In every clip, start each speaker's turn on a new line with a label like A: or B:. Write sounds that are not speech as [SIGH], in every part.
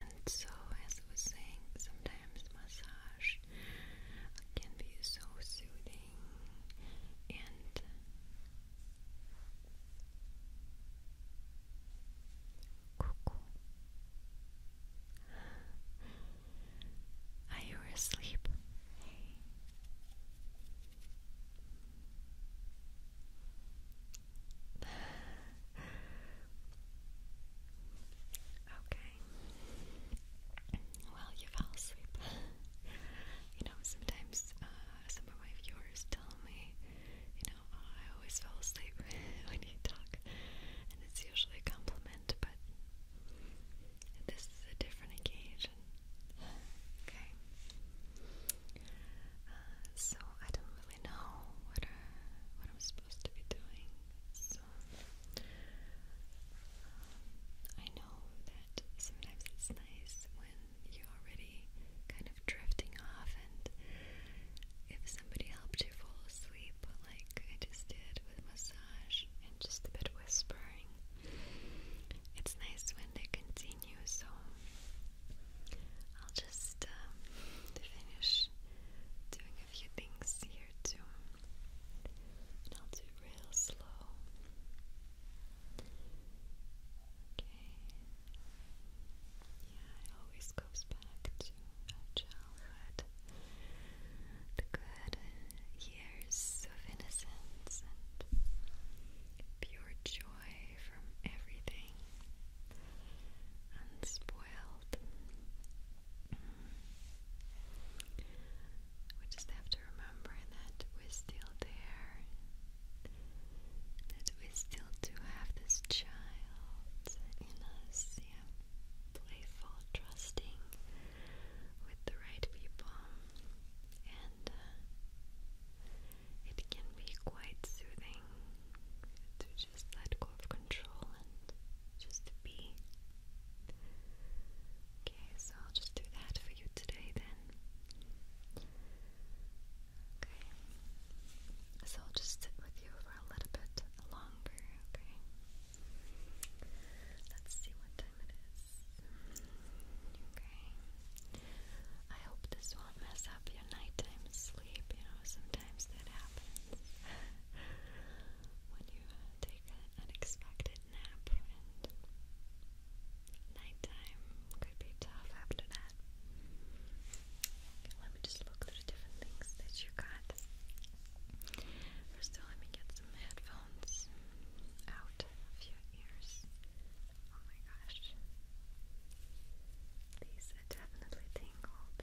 A: And so, as I was saying, sometimes massage can be so soothing and cuckoo. Are you asleep? Okay. Well, you fell asleep. you know, sometimes uh, some of my viewers tell me, you know, oh, I always fall asleep [LAUGHS] when you talk, and it's usually a compliment, but this is a different occasion. Okay. Uh, so, I don't really know what I'm supposed to be doing. So um, I know that sometimes it's nice when you're already kind of drifting off, and if somebody helped you fall asleep, like I just did with massage and just a bit whispering, it's nice when they continue. So I'll um, just um, finish doing a few things here too. I'll do real slow. Okay. Yeah, it always goes back to childhood. The good years of innocence and pure joy from everything. We just have to remember that we're still there, that we still do have this child in us, yeah, playful, trusting with the right people, and uh, it can be quite soothing to just let go of control and just be. Okay, so I'll just do that for you today then. Okay. So I'll just sit with you for a little bit longer, okay? Let's see what time it is. Okay. I hope this won't mess up your nighttime sleep, you know, sometimes that happens when you uh, take an unexpected nap, nighttime could be tough after that. let me just look through the different things that you got. First of all, let me get some headphones out of your ears. Oh my gosh. These are definitely things tangled.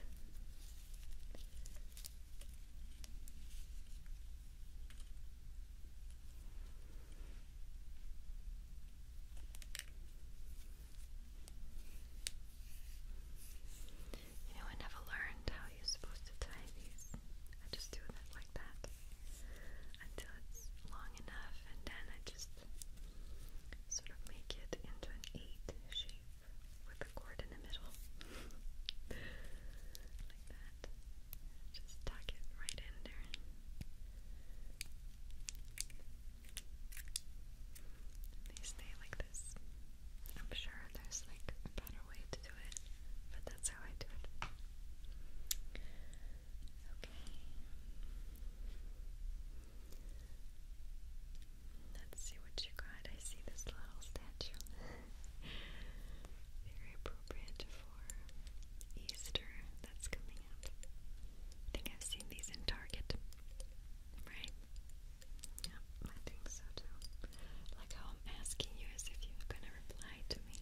A: You know, I never learned how you're supposed to tie these. I just do it like that until it's long enough, and then I just sort of make it into an eight shape with a cord in the middle. [LAUGHS] like that. Just tuck it right in there. they stay like this. I'm sure there's like a better way to do it, but that's how I do it. Okay. Let's see what you got. I see this little statue. [LAUGHS] Very appropriate for Easter that's coming up. I think I've seen these in Target. Right? Yeah, I think so too. Like how I'm asking you as if you're gonna reply to me.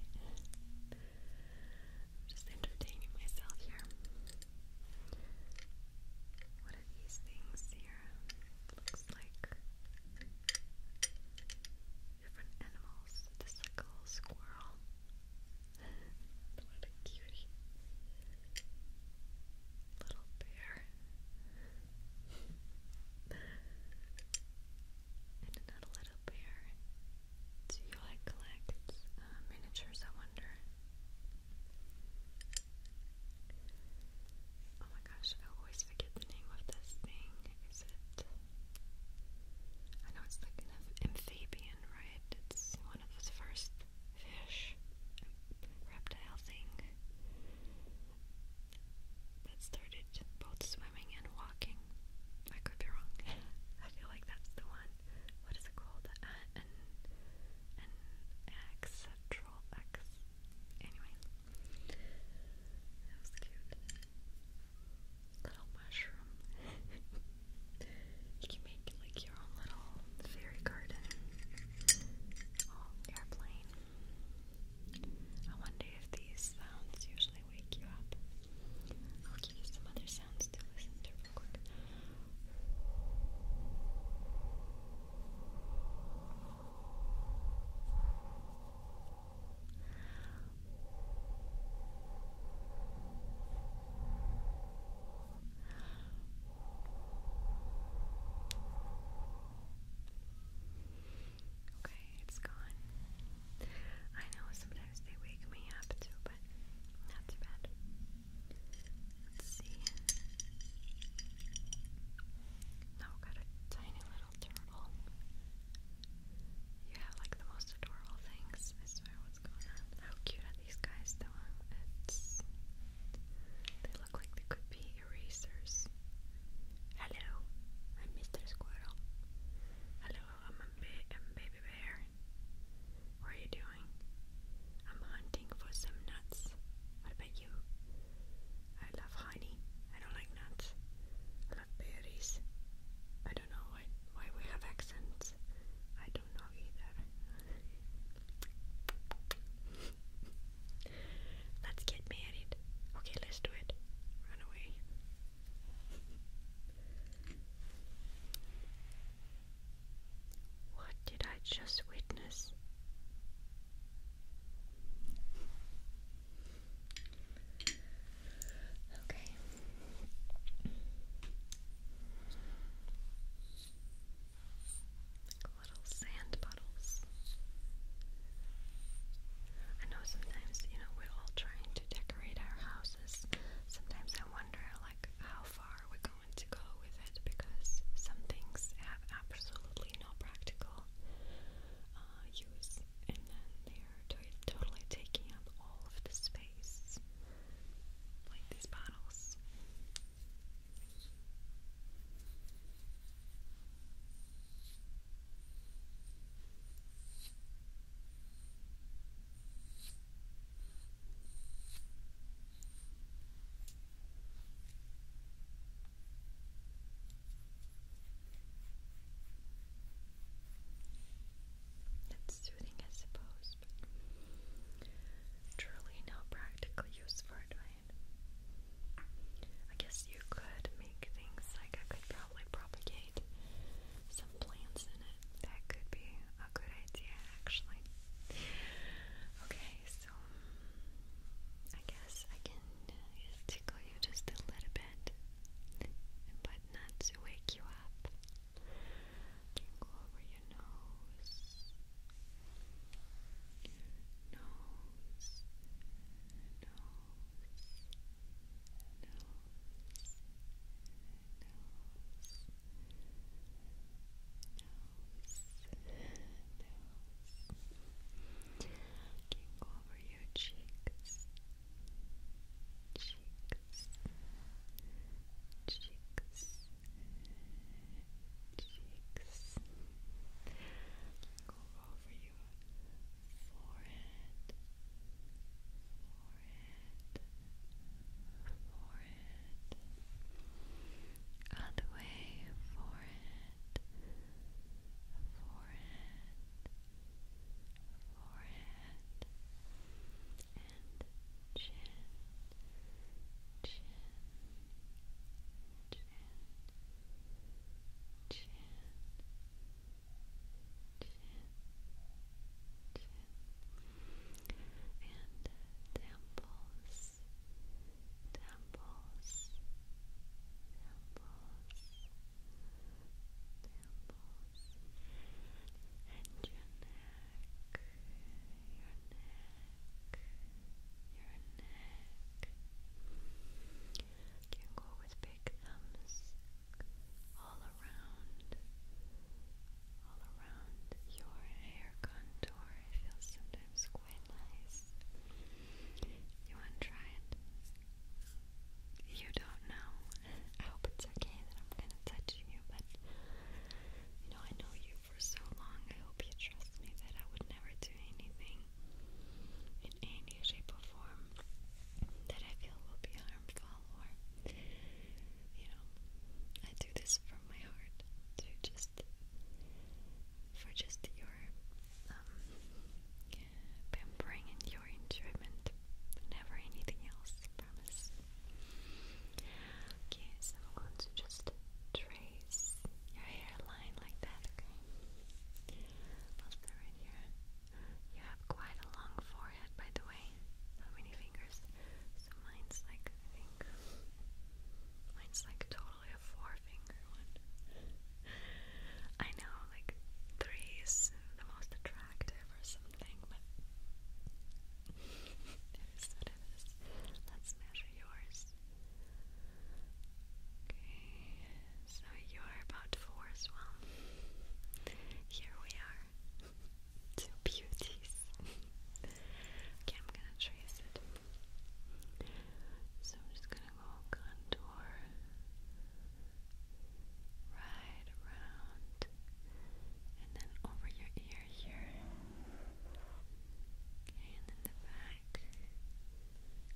A: just entertaining myself here. What are these things here? Looks like different animals. This is like a little squirrel. [LAUGHS] what a cutie. Little bear. [LAUGHS] and another little bear. Do you like collect uh, miniatures, I wonder? Oh my gosh, I always forget the name of this thing. Is it? I know it's like an amphibian, right? It's one of those first fish, reptile thing that started both swimming and walking. I could be wrong. [LAUGHS] I feel like that's the one what is it called? an an accentral X. Anyway, that was cute. Little mushroom. [LAUGHS] you can make like your own little fairy garden. Oh, airplane. I wonder if these sounds usually wake you up. I'll give you some other sounds to listen to click. Okay, it's gone. I know sometimes they wake me up too, but not too bad. Let's see. Now we've got a tiny little turtle. You have like the most adorable things. I swear, what's going on? How cute are these guys, though? It's. They look like they could be erasers. Hello, I'm Mr. Squirrel. Hello, I'm a, ba I'm baby bear. What are you doing? I'm hunting for some nuts. I about you? I love honey. I don't like nuts. I love berries. I don't know why why we have accents. I don't know either. [LAUGHS] let's get married. Okay, let's do it. Run away. What did I just witness? Okay. Little sand puddles. I know sometimes, you know, we're all trying to decorate our houses. Sometimes I wonder, like, how far we're want to go with it because some things have absolutely no practical uh, use, and then they're to totally taking up all of the space, like these bottles. Okay, that's soothing, I suppose, truly no practical use for it, I guess you could make things like I could probably propagate some plants in it. That could be a good idea actually. Okay, so I guess I can uh, tickle you just a little bit, but not to wake you up. Can over your nose, nose. Nose, nose, nose, can go over your cheeks, cheeks, cheeks, cheeks. Go over your forehead, forehead, forehead forehead, all the way forehead, forehead, forehead, and chin, chin, chin, chin, chin, chin and temples, temples, temples, temples, and your neck, your neck, your neck. You can go with big thumbs all around, all around your hair contour. It feels sometimes quite nice. You want to try it? You don't know. I hope it's okay that I'm kind of touching you, but you know, I know you for so long. I hope you trust me that I would never do anything in any shape or form that I feel will be harmful or you know, I do this from my heart to just for just your um, pampering and your enjoyment. Never anything else, promise. Okay, I'm going to just trace your hairline like that, okay? I'll start right here. You have quite a long forehead, by the way. How many fingers? So mine's like, I think, mine's like totally a four finger one. I know, like, three is the most attractive or something, but it is what it is. Let's measure yours. Okay, so you are about four as well. Here we are. Two beauties. [LAUGHS] okay, I'm gonna trace it. So I'm just gonna go contour right around and then over your ear here. Okay, and then the back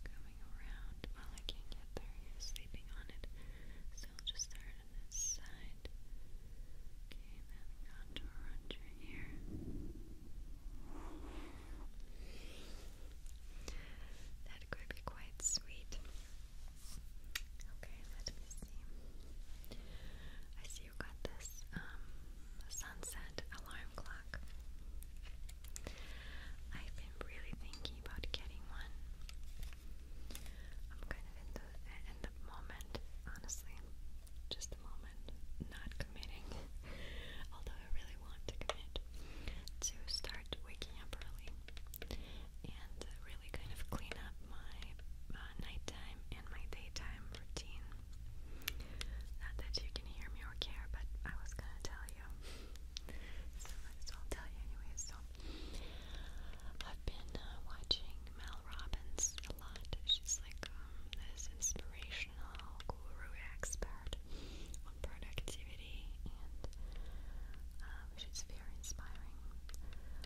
A: coming around. Well, I can get there, you sleeping on it. So I'll just start on this side good. Okay, then down to around That could be quite sweet. Okay, let me see. I see you got this um, sunset alarm clock. I've been really thinking about getting one. I'm kind of in the in the moment, honestly. Just the moment not committing, [LAUGHS] although I really want to commit, to start waking up early and really kind of clean up my uh, nighttime and my daytime routine. Not that you can hear me or care, but I was gonna tell you. So might as tell you anyway. So I've been uh, watching Mel Robbins' lot. She's like um, this inspirational guru expert on productivity, and um, she's very inspiring. Um,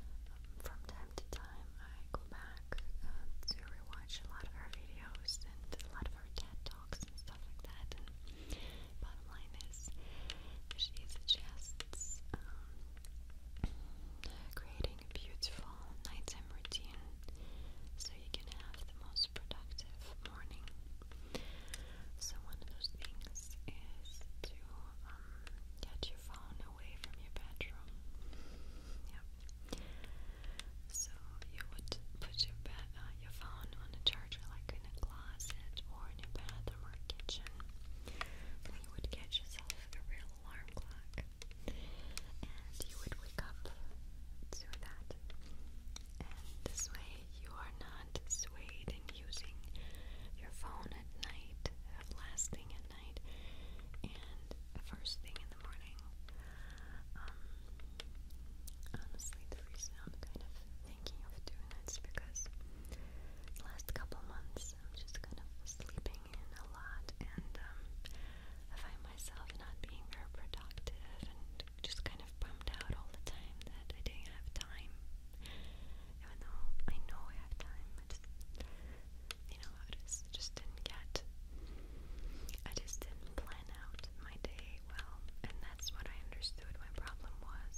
A: from time to time, I go back to rewatch a lot of her videos and a lot of her TED talks and stuff like that. bottom line is, she suggests creating having a beautiful nighttime routine so you can have the most productive morning. So, one of those things is to um, get your phone away from your bedroom. Yeah. So, you would put your, bed, uh, your phone on a charger like in a closet or in your bathroom or kitchen. And you would get yourself a real alarm clock and you would wake up through that. And this way, you are not swayed in using your phone at night, last thing at night, and first thing in the morning. Um, honestly, the reason I'm kind of thinking of doing this because the last couple months I'm just kind of sleeping a lot, and um, I find myself not being very productive and just kind of bummed out all the time that I didn't have time. Even though I know I have time, you know, I just, just didn't get, I just didn't plan out my day well, and that's what I understood my problem was.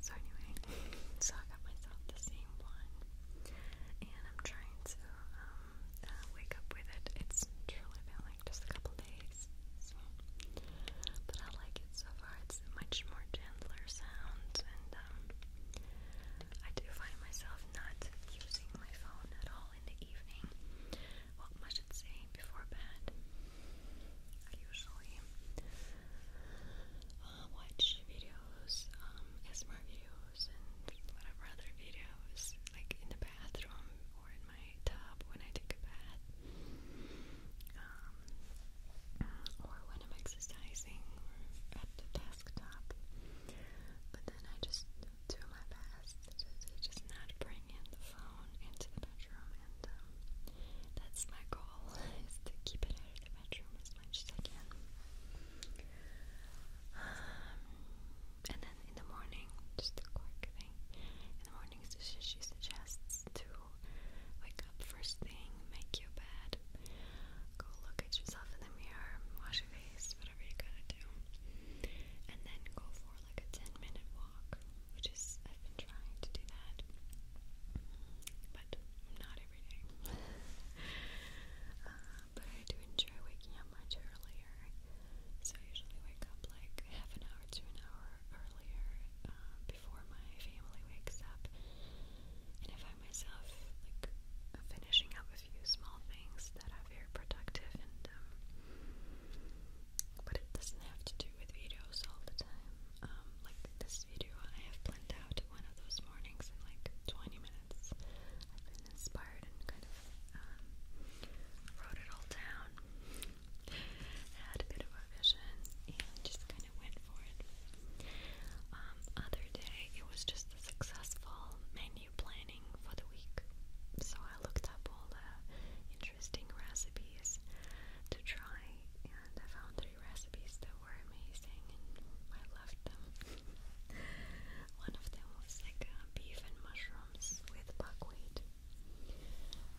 A: So anyway, [LAUGHS] so I got myself the same one and I'm trying to um, uh, wake up with it. It's truly been like just a couple days, but I like it so far. It's much more gentler sound, and um, I do find myself not using my phone at all in the evening. Well, I should say before bed. I usually uh, watch videos, um, ASMR videos, and whatever other videos, like in the bathroom or in my tub when I take a bath, um, or when I'm exercising or at the desktop. But then I just do my best to, to just not bring in the phone into the bedroom, and um, that's my goal [LAUGHS] is to keep it out of the bedroom as much as I can. Um, and then in the morning, just a quick thing. In the morning, she suggests to wake up first thing, make your bed, go look at yourself in the mirror, wash your face, whatever you gotta do, and then go for like a 10 minute walk, which is, I've been trying to do that, but I'm not uh, but I do enjoy waking up much earlier, so I usually wake up like half an hour to an hour earlier um, before my family wakes up. And I find myself like finishing up a few small things that are very productive and um, but it doesn't have to do with videos all the time. Um, like this video I have planned out one of those mornings in like 20 minutes. I've been inspired and kind of um, wrote it all down. Had a bit of a vision and just kind of went for it. Um, other day, it was just the successful menu planning for the week. So I looked up all the interesting recipes to try and I found three recipes that were amazing and I loved them. One of them was like uh, beef and mushrooms with buckwheat.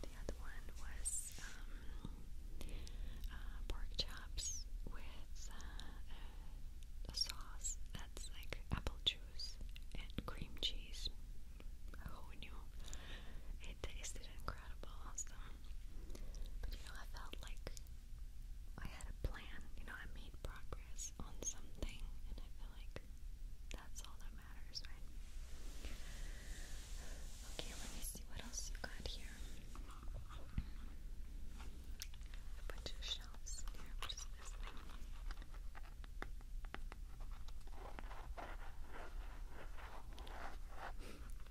A: The other one was um, uh, pork chops with uh, a sauce that's like apple juice and cream cheese. Who knew? It tasted incredible, awesome. But you know, I felt like I had a plan, you know, I made progress on something, and I feel like that's all that matters, right? Okay, let me see what else you got here. A bunch of shelves here, which is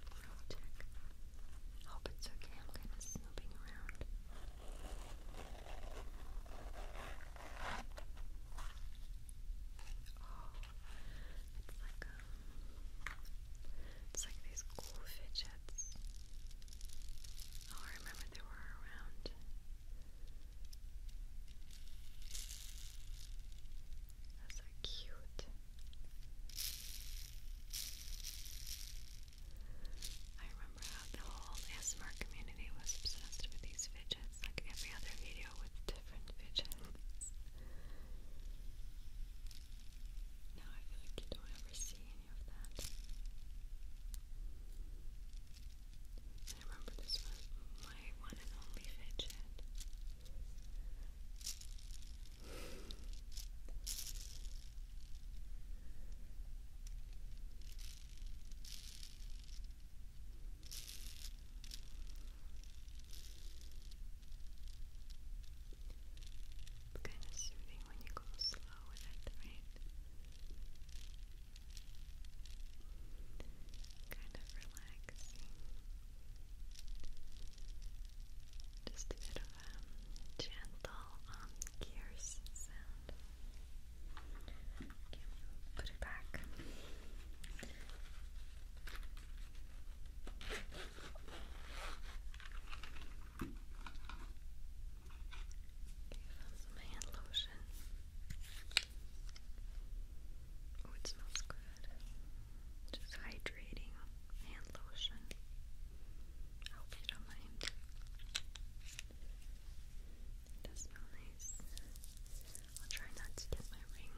A: I'll Hope it's okay. I'm kind of snooping around. Oh, it's like um, it's like these cool fidgets. Oh, remember they were around. That's so cute. I remember how the whole ASMR community was obsessed with these fidgets, like every other video with different fidgets. Now I feel like you don't ever see any of that. I remember this was my one and only fidget. It's kind of soothing when you go slow with it, right? Kind of relaxing just a bit of a um, gentle um, sound. put it back. found some hand lotion. Oh, it smells good. Just hydrating hand lotion. I hope you don't mind. does smell nice. I'll try not to get my ring.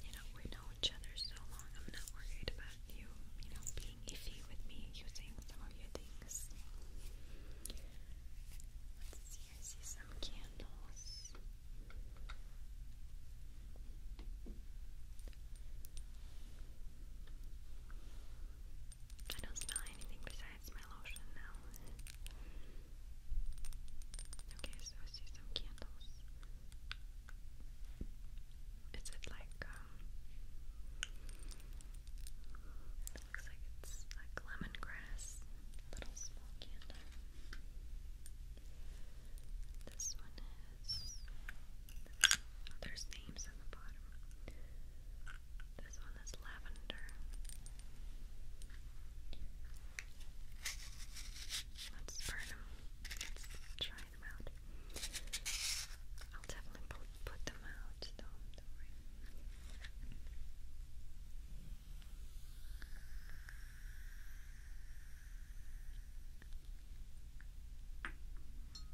A: You know, we know each other so long. I'm not worried about you, you know, being iffy with me using some of your things. I see some candles. I don't smell anything besides my lotion now. Okay, so I see some candles. Is it like, um, it looks like it's like lemongrass, little small candles softer. This one is. There's names on the bottom. This one is lavender. Let's burn them. try them out. I'll definitely put them out, though gonna make it. Let me see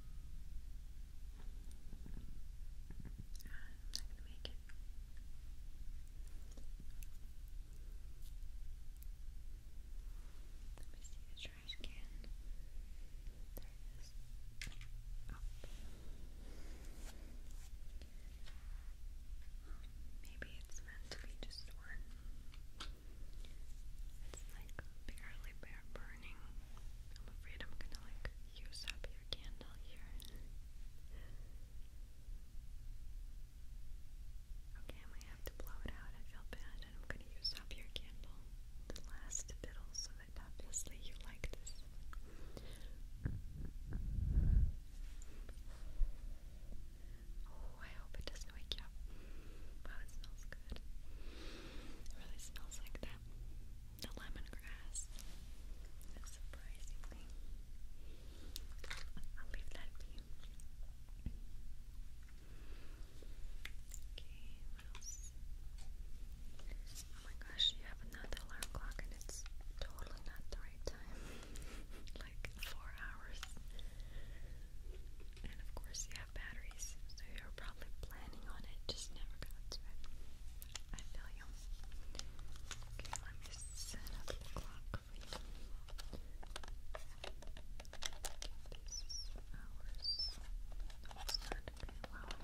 A: the trash can. There it is. Oh. Maybe it's meant to be just one. It's like barely bare burning. I'm afraid I'm gonna like use up your candle here. Okay, I have to blow it out. I feel bad, and I'm gonna use up your candle, the last fiddle, so that obviously you like this. Oh, I hope it doesn't wake you up. Wow, it smells good. It really smells like that. The lemongrass. That's surprisingly. I'll leave that for you. Okay, Oh my gosh, you have another alarm clock and it's totally not dark right like four hours. And of course, you have batteries, so you're probably planning on it, just never got to it. I feel you. Okay, let me set up the clock for you. This hours. Okay, allow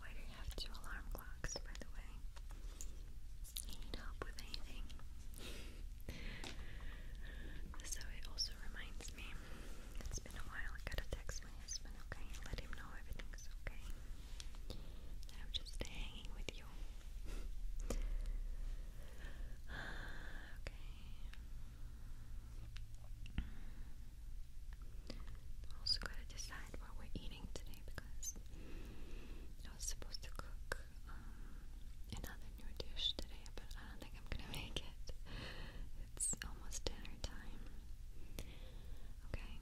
A: why do you have two alarm clocks, by the way? need help with anything. so it also reminds me, it's been a while, I gotta text my husband, okay? Let him know everything's okay. I'm just hanging with [SIGHS] okay. Also gotta decide what we're eating today because I was supposed to cook um, another new dish today, but I don't think I'm gonna [LAUGHS] make it. It's almost dinner time. Okay.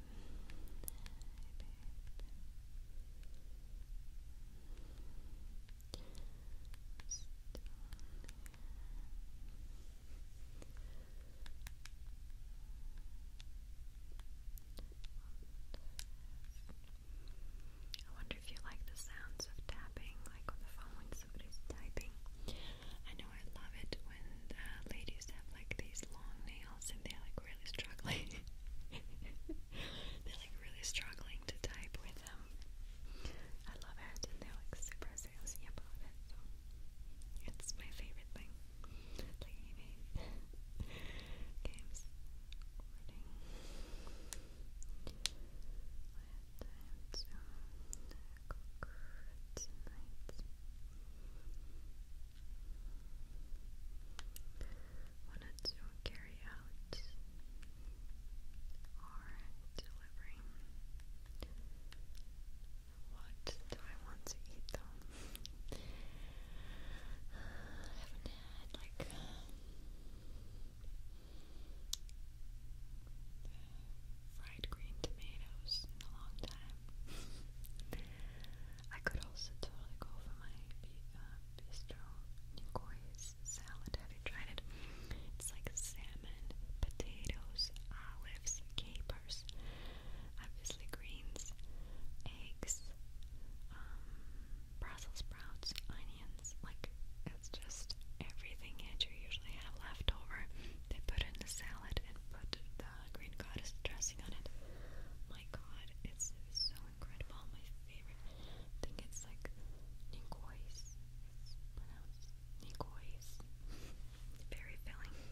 A: I wonder if you like the sounds of tapping, like on the phone when somebody's typing. I know I love it when uh, ladies have like these long nails and they're like really struggling. [LAUGHS] they're like really struggling to type with them. I love it they're like super salesy about it. it's my favorite thing. Like eBay [LAUGHS] games. Recording. So tonight. Wanted to carry out or delivering. What do I want to eat though? [SIGHS] haven't had like uh, fried green tomatoes in a long time. [LAUGHS] I could also totally go for my uh, bistro Nikoi's this salad. Have you tried it? It's like salmon, potatoes, olives, capers, obviously greens, eggs, um, Brussels sprouts, onions. Like it's just everything that you usually have left over. They put in the salad and put the green goddess dressing on it. My God, it's so incredible. My favorite. I think it's like Nicoise. pronounced Nicoise. [LAUGHS] Very filling.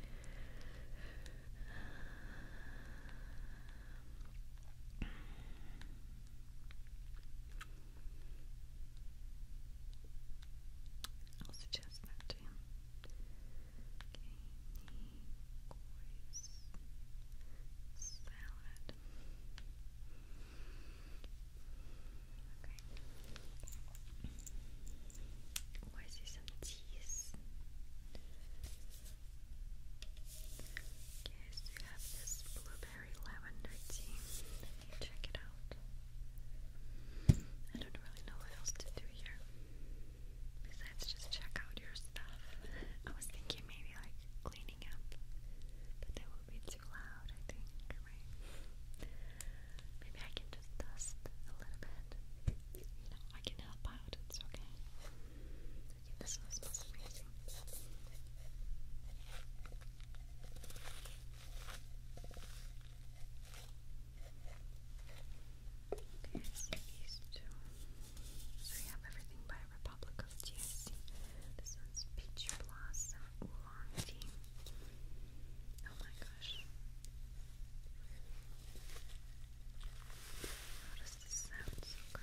A: [SIGHS] I'll suggest that to him. Okay, why is there some cheese? Yes, you have this blueberry lavender tea. check it out. I don't really know what else to do here. Besides just check out your stuff. [LAUGHS] I was thinking maybe like clean cleaning up, be too loud, I think, Maybe I can just dust a little bit. You know, I can help out, it's okay. this smells amazing. Okay, so these two. So we have everything by Republic of This one's Peach Blossom Oh my gosh. How does this sound so good?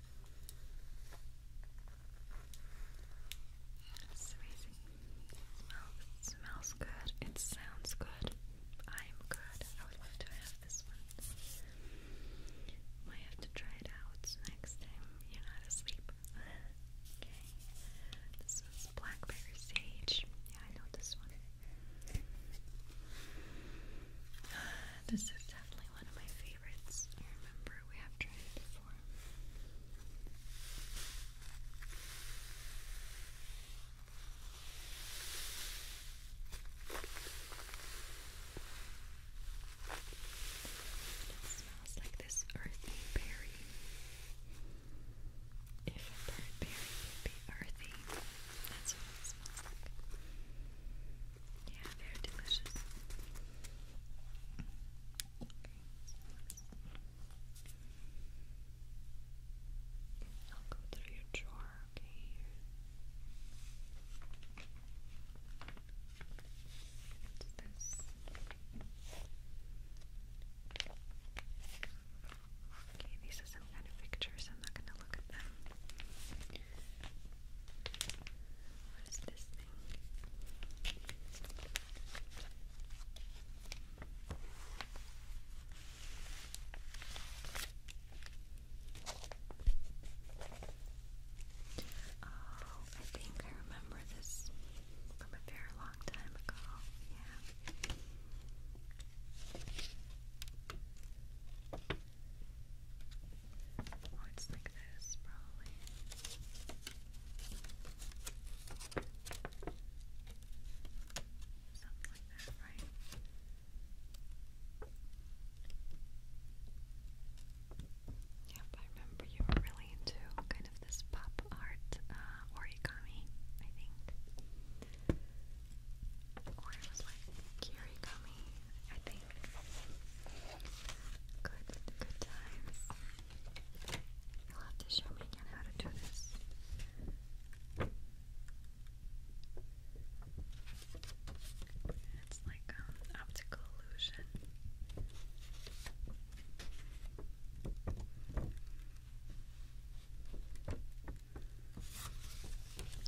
A: amazing. smells, smells good. It sounds good. I'm good. I would love to have this one. Might have to try it out next time you're not asleep. okay. This one's blackberry sage. Yeah, I know this one. [SIGHS] This is definitely definitely one of my favorites. I remember we have tried before. It smells like this earthy berry. If a bird berry would earthy, that's what it smells like. Yeah, very delicious. I'll go through your drawer, okay? What's this? Okay, these are some kind of pictures. I'm not going to look at them. What is this oh, I think I remember this from a very long time ago. Yeah. Oh, it's like this, probably. Something like that, right? Yep, I remember you were really into kind of this pop art uh, origami, I think. Or Good, good times. You'll have to show me again how to do this. It's like um, optical illusion.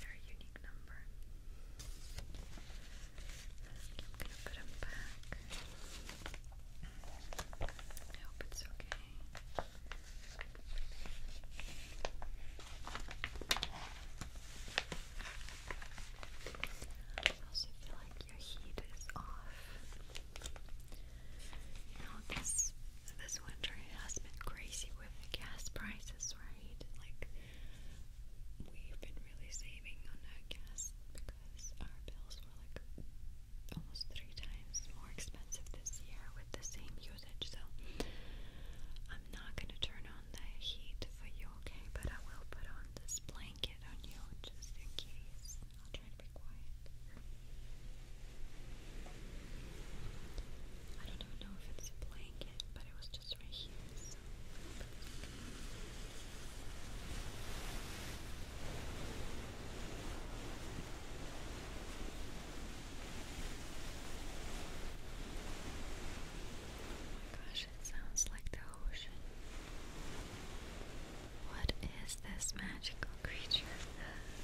A: Very unique number. I'm gonna put them back. I hope it's okay. I also feel like your heat is off. You know, this this winter it has been crazy with the gas prices, right? Like we've been really saving on our gas because our bills were like almost three times more expensive this year with the same usage. So I'm not gonna turn on the heat for you, okay? But I will put on this blanket on you just in case. I'll try to be quiet. I don't even know if it's a blanket, but it was just right here, Oh my gosh, it sounds like the ocean. What is this magical creature?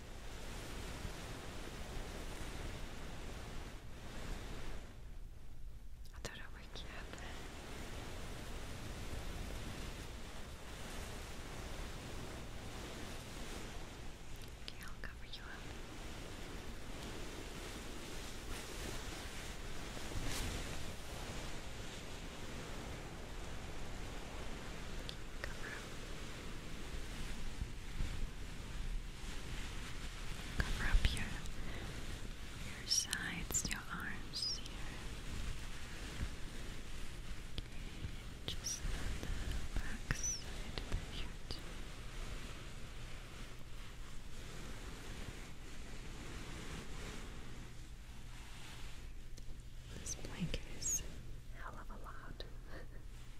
A: I thought I'd you up Okay, I'll cover you up. Cover up. Cover up your your sides, your arms just the back side here This blanket is hell of a lot. [LAUGHS]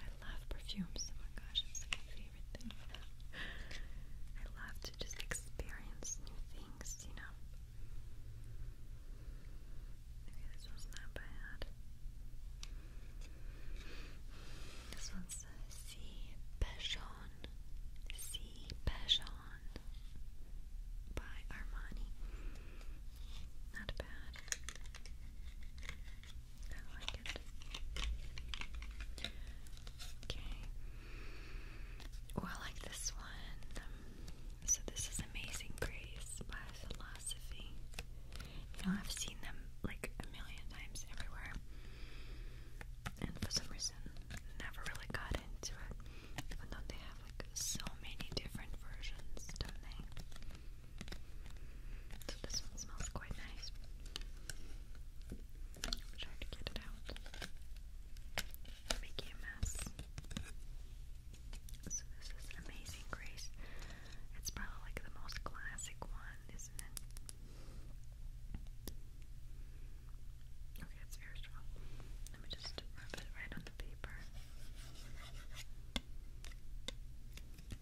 A: I love perfumes. Oh my gosh, it's my favorite thing. I love to just experience new things, you know. Okay, this one's not bad. This one's C. Uh, Passion. C. Passion by Armani. Not bad. I Okay. Oh, I like this one. So this is Amazing Grace by Philosophy. You know, I've seen them like a million times everywhere. And for some reason, never really got into it. Even though they have like so many different versions, don't they? So this smells quite nice. trying to get it out. Making a mess. So this is Amazing Grace. It's probably like the most classic one, isn't it? Okay, it's very strong. Let me just rub it right on the paper worked.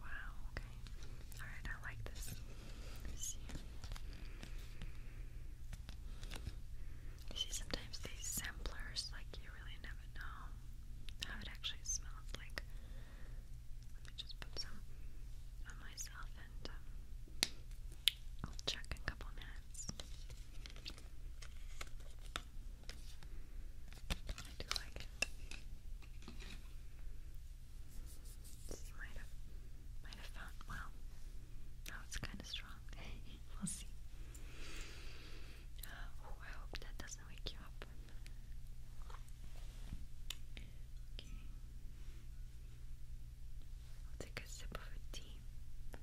A: Wow, okay. Alright, I like this. See. You see sometimes these samplers, like you really never know how it actually smells like let me just put some on myself and um, I'll check in a couple minutes. I do like it. This might have, might have found, well, now it's kind of strong. [LAUGHS] we'll see. Uh, oh, I hope that doesn't wake you up. Okay. take a sip of a tea. I'm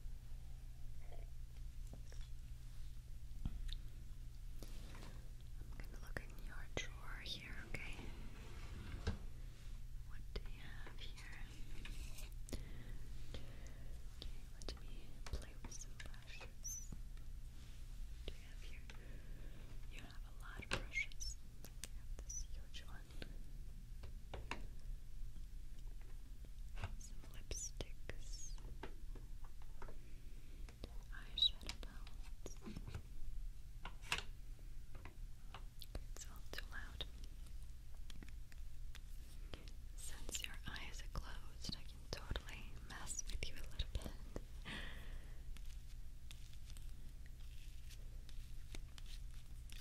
A: gonna look in your drawer here, okay? What do you have here? Okay, let me play with some brushes. do you have here? you have a lot of brushes. I have this huge Some lipsticks. Eyeshadow It's all too loud. Since your eyes are closed, I can totally mess with you a little bit.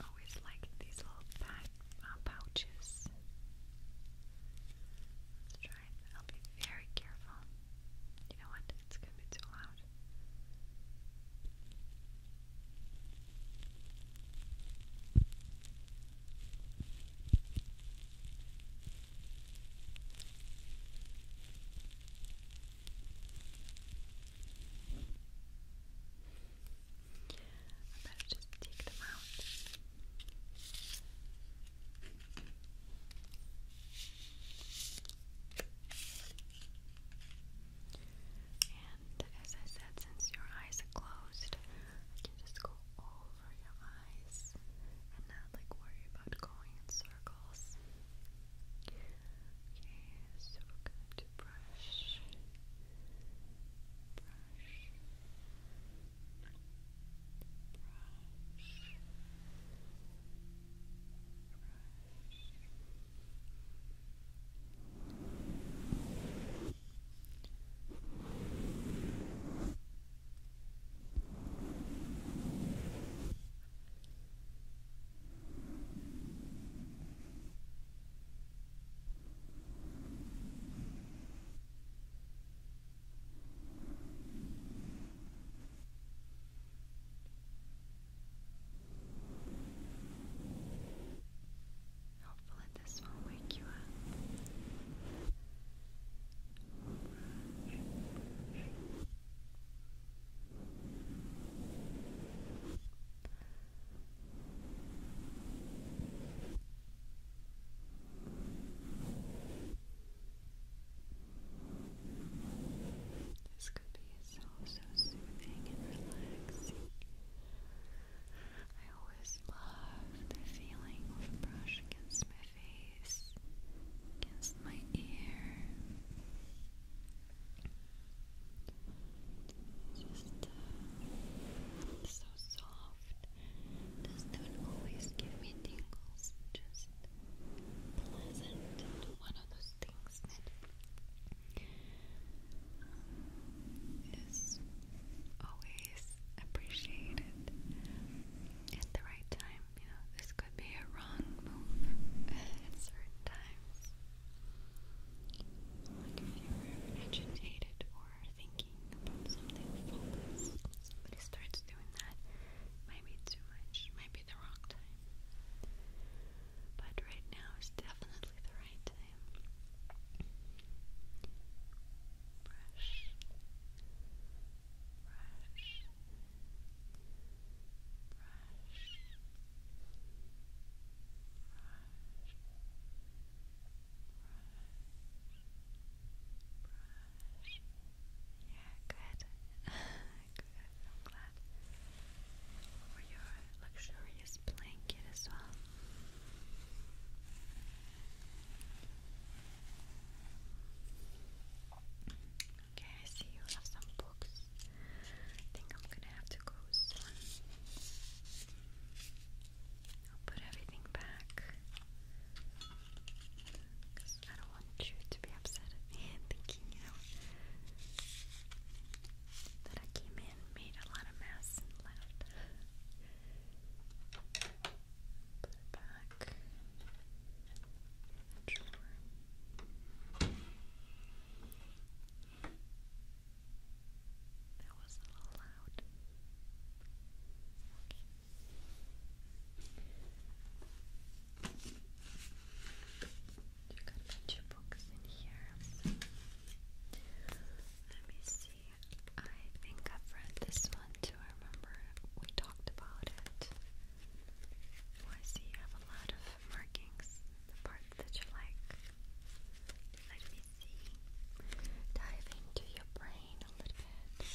A: Always like these little pack, uh, pouches. Let's try it. I'll be very careful. You know what? It's gonna be too loud. I better just take them out. And uh, as I said, since your eyes are closed, I can just go over your eyes and not like worry about going in circles. Okay, so brush, brush, brush, brush Hopefully, this won't wake you up. This could be so, so soothing and relaxing. I always love the feeling of a brush against my face, against my ear. Just uh, so soft. Doesn't always give me tingles. Just pleasant. One of those things that um, always appreciated at the right time you know, this could be a wrong move at certain times. Like if you were agitated or thinking about something somebody starts doing that, might be too much, might be the wrong time. But right now is definitely the right time. Brush, good. good. I'm glad. For your luxurious blanket as well. Okay, I see you have some books. I think I'm gonna have to go soon. I'll put everything back. I don't want you to be upset [LAUGHS] and thinking, you know, that I came in, made a lot of mess, and left to back That was a little You got a bunch books in here. Let me see. I think I've read this one too. I remember we talked about it. Oh, I see you have a lot of markings, the parts that you like. Let me see. Dive into your brain a little bit.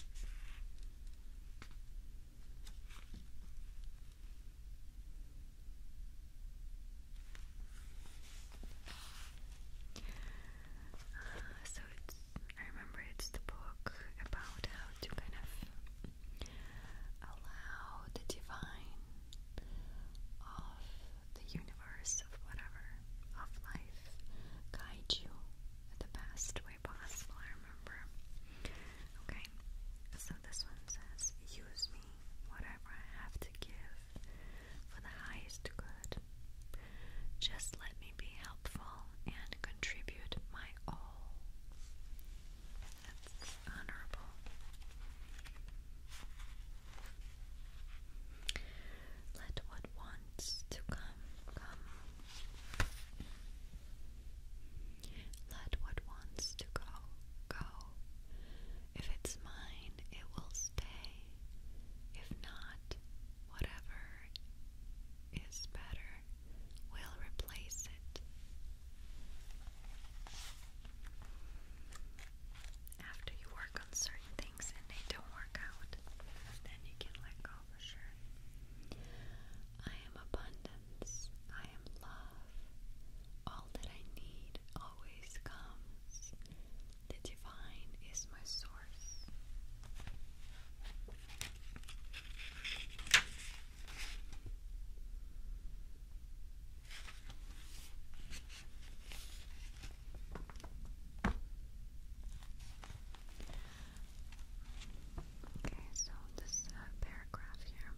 A: Uh, so it's, I remember it's the book about how to kind of Allow the divine of the universe, of whatever, of life, guide you the best way possible. I remember. Okay, so this one says, Use me, whatever I have to give, for the highest good. Just let me be helpful and contribute my all. That's honorable. Let what wants to come, come. Let what wants to go, go. If it's mine, it will stay. If not, whatever is better will replace it. After you work on certain things and they don't work out, then you can let go for sure. I am abundance. I am love. All that I need always comes. The divine is my source. Okay, so this uh, paragraph here.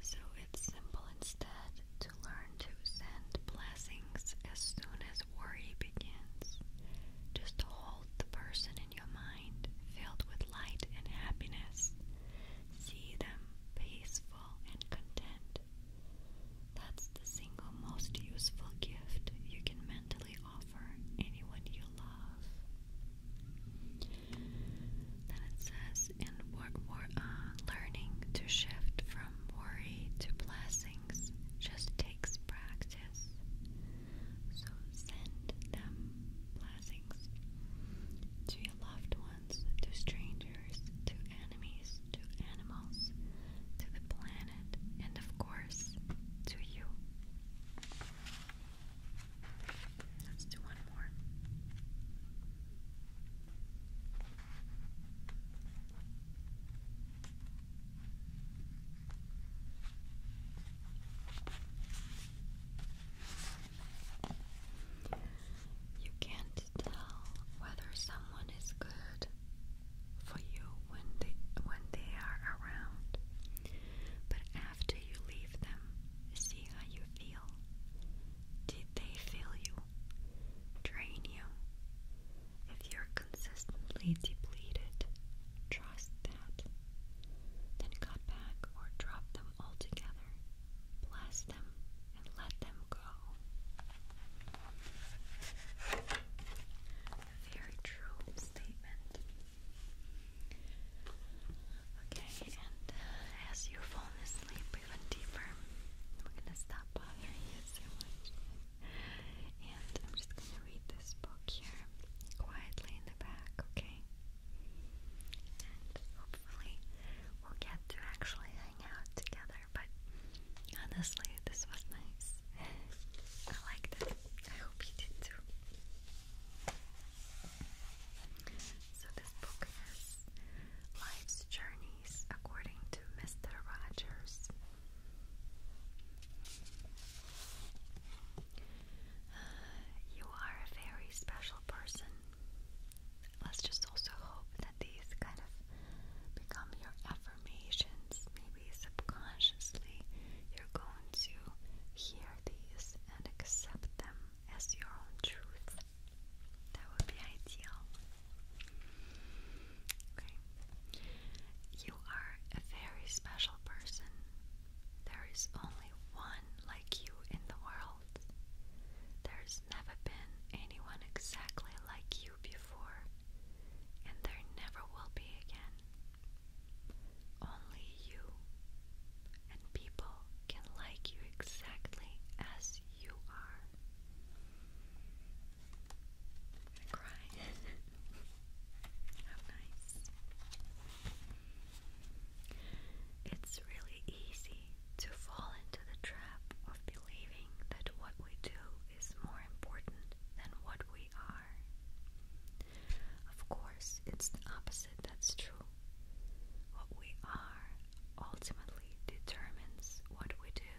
A: So it's simple instead to learn to send blessings as soon as worry begins. Just hold the person your mind, filled with light and happiness. See them peaceful and content. That's the single most useful gift you can mentally offer anyone you love. Then it says, and we we're uh, learning to shift from worry to blessings just takes practice success. So send them blessings to your loved ones, to strangers, to enemies, to animals, to the planet, and of course, to you. Let's do one more. You can't tell whether someone is good for you when they when they are around. But after you leave them, see how you feel. Did they fill you? Drain you? If you're consistently depleted, Trust that, then cut back or dropped them altogether, blessed them, and let them go. Very true statement. Okay, and uh, as you've asleep even deeper, I'm gonna stop bothering you so much. And I'm just gonna read this book here quietly in the back, okay? And hopefully we'll get to actually hang out together, but honestly, this was nice. I liked it. I hope you did too. So, this book is Life's Journeys according to Mr. Rogers. Uh, you are a very special person. Let's just also hope that these kind of become your affirmations. Maybe subconsciously you're going to hear these and accept them as your own truth. That would be ideal. Okay. You are a very special person. There is only one like you in the world. There's never been anyone exactly like you before, and there never will be again. Only you, and people can like you exactly as you are. i [LAUGHS] How nice. It's really easy to fall into the trap of believing that what we do is more important than what we are. Of course, it's the opposite that's true. What we are ultimately determines what we do.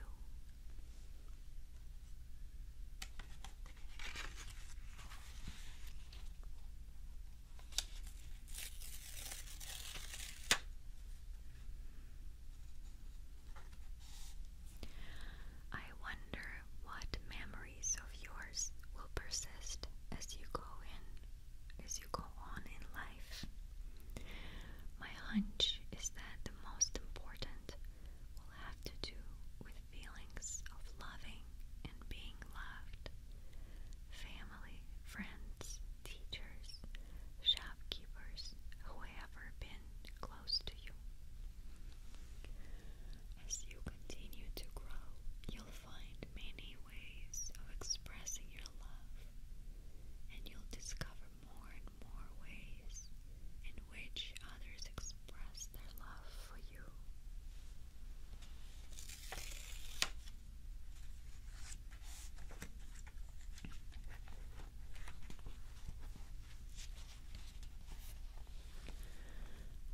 A: I wonder what memories of yours will persist as you go in as you go on in life. My hunch is that the most important will have to do with feelings of loving and being loved. Family, friends, teachers, shopkeepers, whoever been close to you. As you continue to grow, you'll find many ways of expressing your love, and you'll discover more and more ways and which others express their love for you.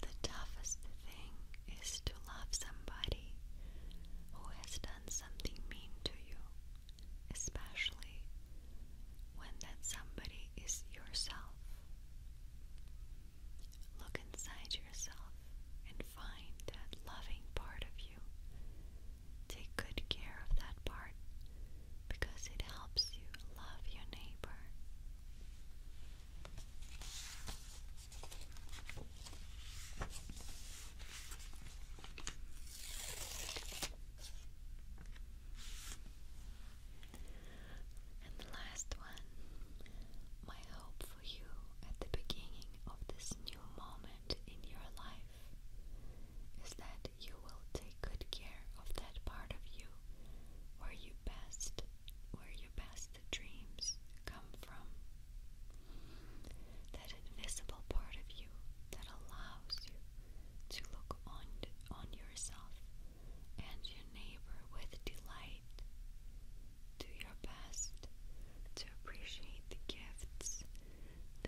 A: The toughest thing is to love somebody who has done something mean to you, especially when that somebody is yourself. Look inside yourself and find that loving part of you. Take good care of that part because it helps you love your neighbor. And the last one, my hope for you at the beginning of this new moment in your life is that you will take good care of that part of you where you best where your best dreams come from. That invisible part of you that allows you to look on on yourself and your neighbor with delight. Do your best to appreciate the gifts that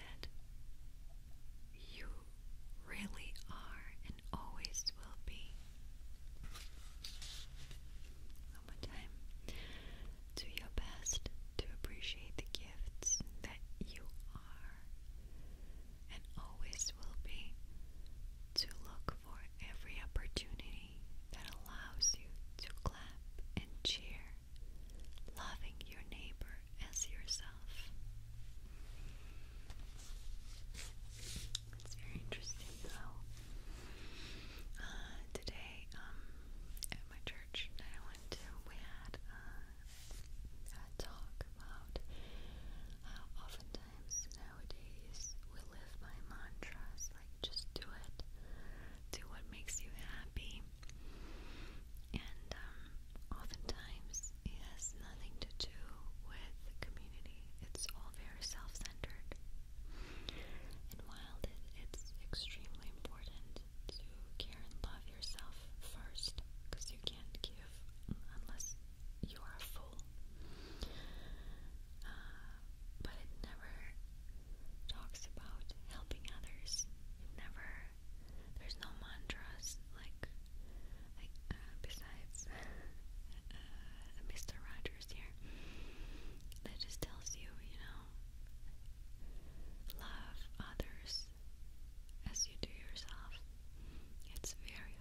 A: you really are and always will be. One more time. Do your best to appreciate the gifts that you are and always will be to look for every opportunity that allows you to clap and cheer, loving your neighbor as yourself. It's very interesting how uh, today um, at my church I went to, we had uh, a talk about how often nowadays we live by mantras like just do it, do what makes you happy, and um, oftentimes it has nothing to do with the community. It's all very self-centered, and while it's extremely important to care and love yourself first, because you can't give unless you are a fool. Uh, but it never talks about helping others. never, there's no mantras like, like uh, besides [LAUGHS] uh, Mr. Rogers here that just tells you, you know, love others as you do yourself. It's very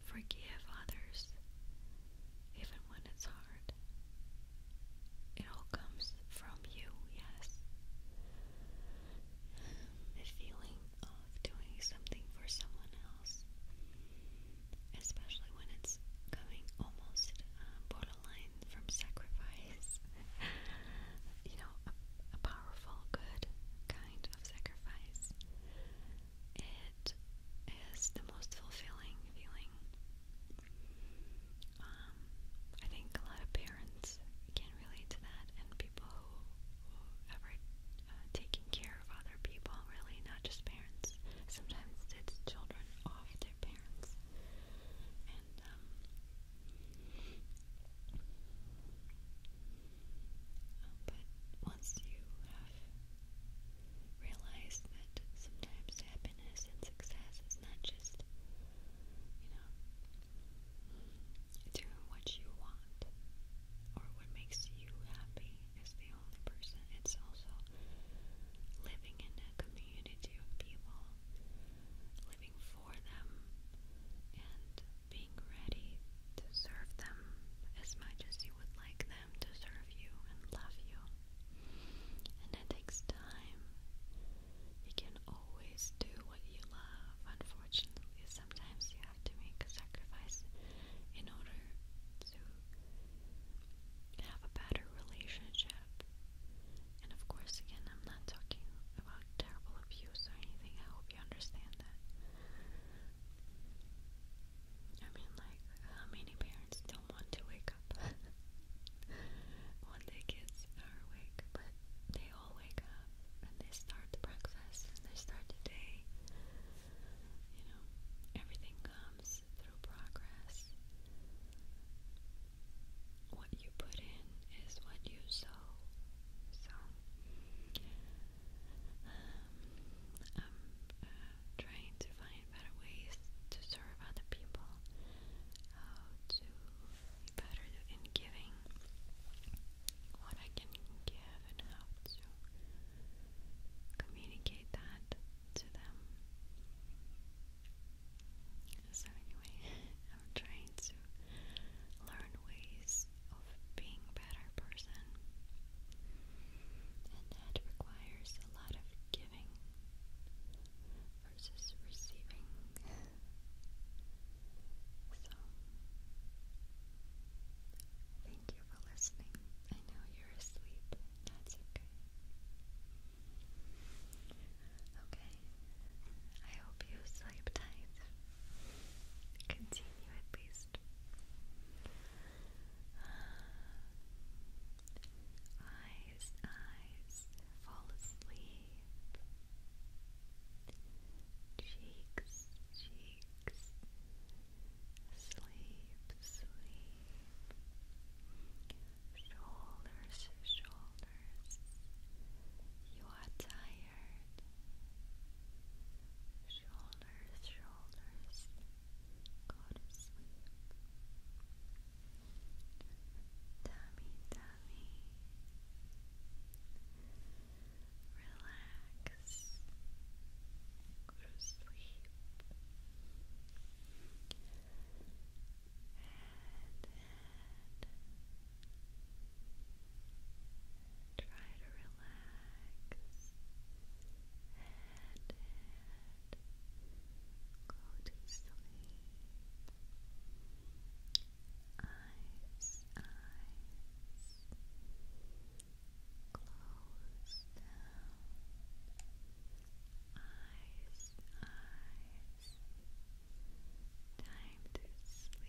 A: Forgive others, even when it's hard. It all comes from you, yes. The feeling of doing something for someone else, especially when it's coming almost uh, borderline from sacrifice, [LAUGHS] you know, a, powerful good of sacrifice. It is the most fulfilling feeling. Um, I think a lot of parents can relate to that, and people who, who uh, taking care of other people, really, not just parents. Sometimes it's children off their parents, um, um, but once you have realized that sometimes happiness and success is not just, you know, doing what you want or what makes you happy as the only person, it's also living in a community of people, living for them, being ready to serve them as much as you would like them to serve you and love you. And that takes time. You can always do what you love. Unfortunately, sometimes you have to make a sacrifice in order to have a better relationship. And of course, again, I'm not talking about terrible abuse or anything. I hope you understand that. I mean, like, how many parents don't want to wake up when [LAUGHS] their kids are awake? But they all wake up and they start the breakfast they start the day. You know, everything comes through progress. What you put in is what you sow. So, um, i um, uh, trying to find better ways to serve other people, how to be better in giving what I can give, and how to communicate that to them. So, anyway, [LAUGHS] I'm trying to learn ways of being better person. And that requires a lot of giving versus receiving. So, thank you for listening. I know you're asleep, that's okay. Okay, I hope you sleep tight continue at least. eyes, eyes, fall asleep. Cheeks, cheeks, sleep, sleep. Shoulders, shoulders you tired. Shoulders, shoulders. Go to sleep. Tummy, tummy. Relax. Go to sleep. Head, head. Try to relax and, and go to sleep. Eyes, eyes, close down. Eyes, eyes, time to sleep.